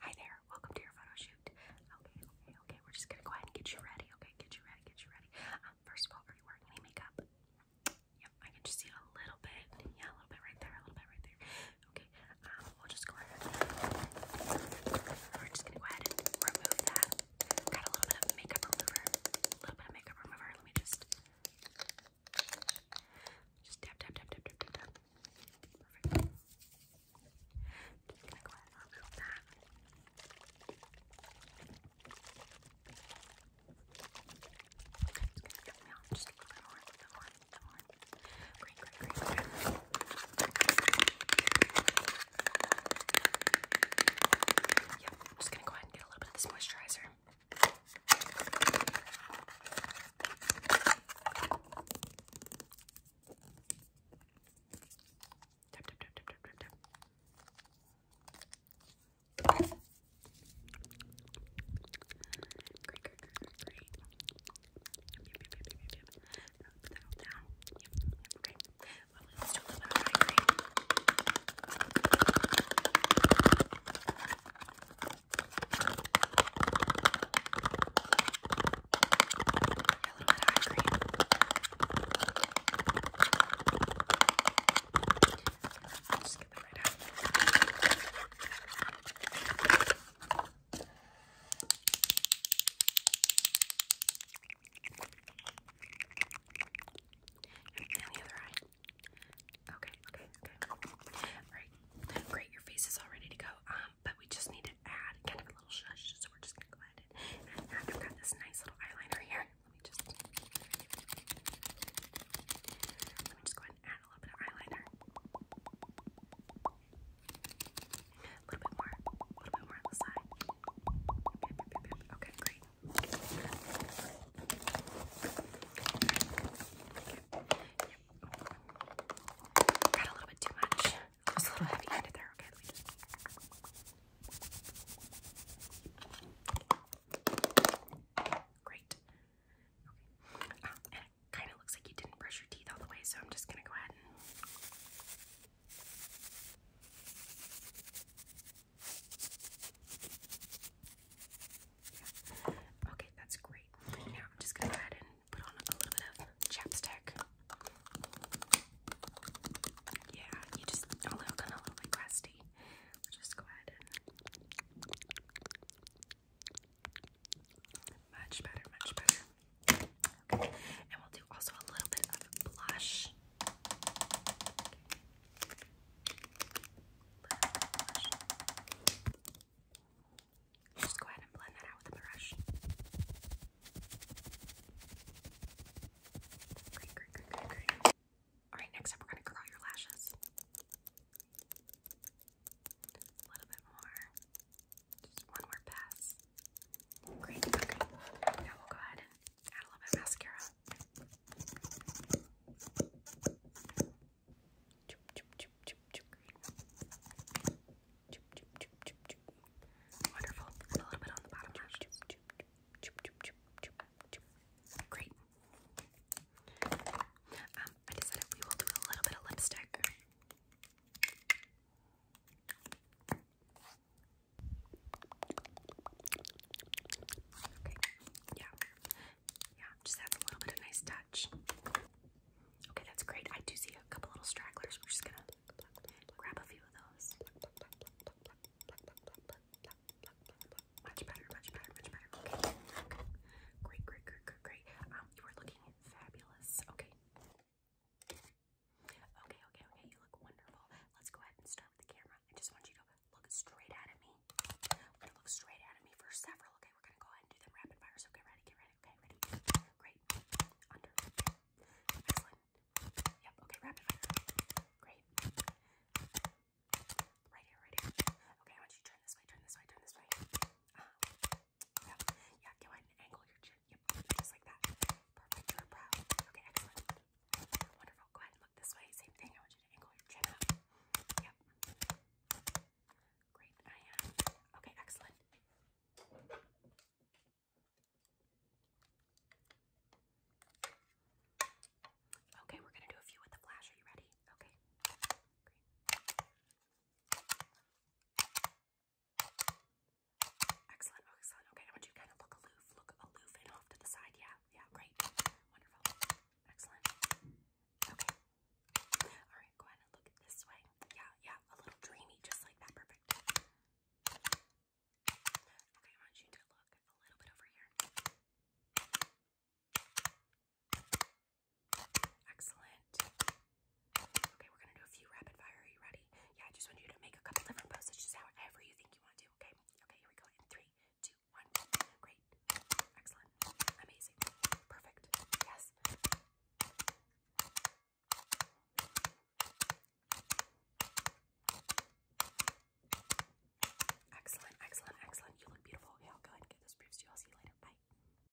Hi there, welcome to your photo Okay, okay, okay, we're just gonna go ahead and get you ready, okay? Get you ready, get you ready. Um, first of all, are you wearing any makeup? Yep, I can just see a little bit. Yeah, a little bit right there, a little bit right there. Okay, um, we'll just go ahead. We're just gonna go ahead and remove that. Got a little bit of makeup remover. A little bit of makeup remover. Let me just just dab, dab, dab, dab, dab, tap, Okay, it's gonna come down just a little more, a little more, a little more. Great, great, great, great. Yep, I'm just gonna go ahead and get a little bit of this moisturizer. Tap, tap, tap, tap, tap, tap, tap. Great, great, great, great. Put that all down. Yep, yep, okay. Well, let's do a little bit of eye cream little bit of eye cream. I'll just get that right out. And the other eye. Okay, okay, okay. Alright, great. Your face is all ready to go. Um, but we just need to add kind of a little shush, so we're just gonna go ahead and I've got this nice little eyeliner here. Let me just let me just go ahead and add a little bit of eyeliner. A little bit more, a little bit more on Okay, great. Got a little bit too much. It was a little heavy handed there. Okay, Great. Okay. Um, kind of looks like you didn't brush your teeth all the way, so I'm just going to go ahead Okay, that's great. Now I'm just gonna go ahead and put on a little bit of chapstick. Yeah, you just a little kind of a little bit crusty. Just go ahead and much better, much better. and we'll do also a little bit of blush. Just go ahead and blend that out with a brush. Great, great, great, great, Alright, next up we're gonna curl your lashes. A little bit more. Just one more pass. Great, okay. we'll go ahead Add a little bit of mascara. Wonderful. a little bit on the bottom Great. I decided we will do a little bit of lipstick. Okay. Yeah. Yeah. Just adds a little bit of nice touch. Okay, that's great. I do see a couple little stragglers. We're just gonna grab a few of those. Much better, much better, much better. Okay. okay. great, great, great, great. Um, you are looking fabulous. Okay. Okay, okay, okay. You look wonderful. Let's go ahead and start with the camera. I just want you to look straight at me. We're gonna look straight at me for several. Okay, we're gonna go ahead and do them rapid fire. So get ready, get ready. Okay, ready. Great. Excellent. Yep. Okay, rapid fire. Great. Right here, right here. Okay, I want you to turn this way, turn this way, turn this way. Uh-huh. Yeah, go ahead angle your chin. Yep, just like that. Perfect, your brow. Okay, excellent. Wonderful. Go ahead look this way. Same thing. I want you to angle your chin up. Yep. Great. I am. Okay, excellent. Okay, we're gonna do a few with the flash. Are you ready? Okay. Excellent, excellent. Okay, I want you kind of look aloof, look aloof and off to the side. Yeah, yeah, great. Wonderful. Excellent. Okay. All right, go ahead and look this way. Yeah, yeah, a little dreamy, just like that. Perfect. Okay, I want you to look a little bit over here. Excellent. Okay, we're gonna do a few rapid fire. Are you ready? Yeah, I just want you to make a couple different poses, just however you think you want to. Okay. Okay, here we go. In three, two, one. Great. Excellent. Amazing. Perfect. Yes. Excellent, excellent, excellent. You look beautiful. Yeah, I'll go ahead and get those proofs to you. I'll see you later. Bye.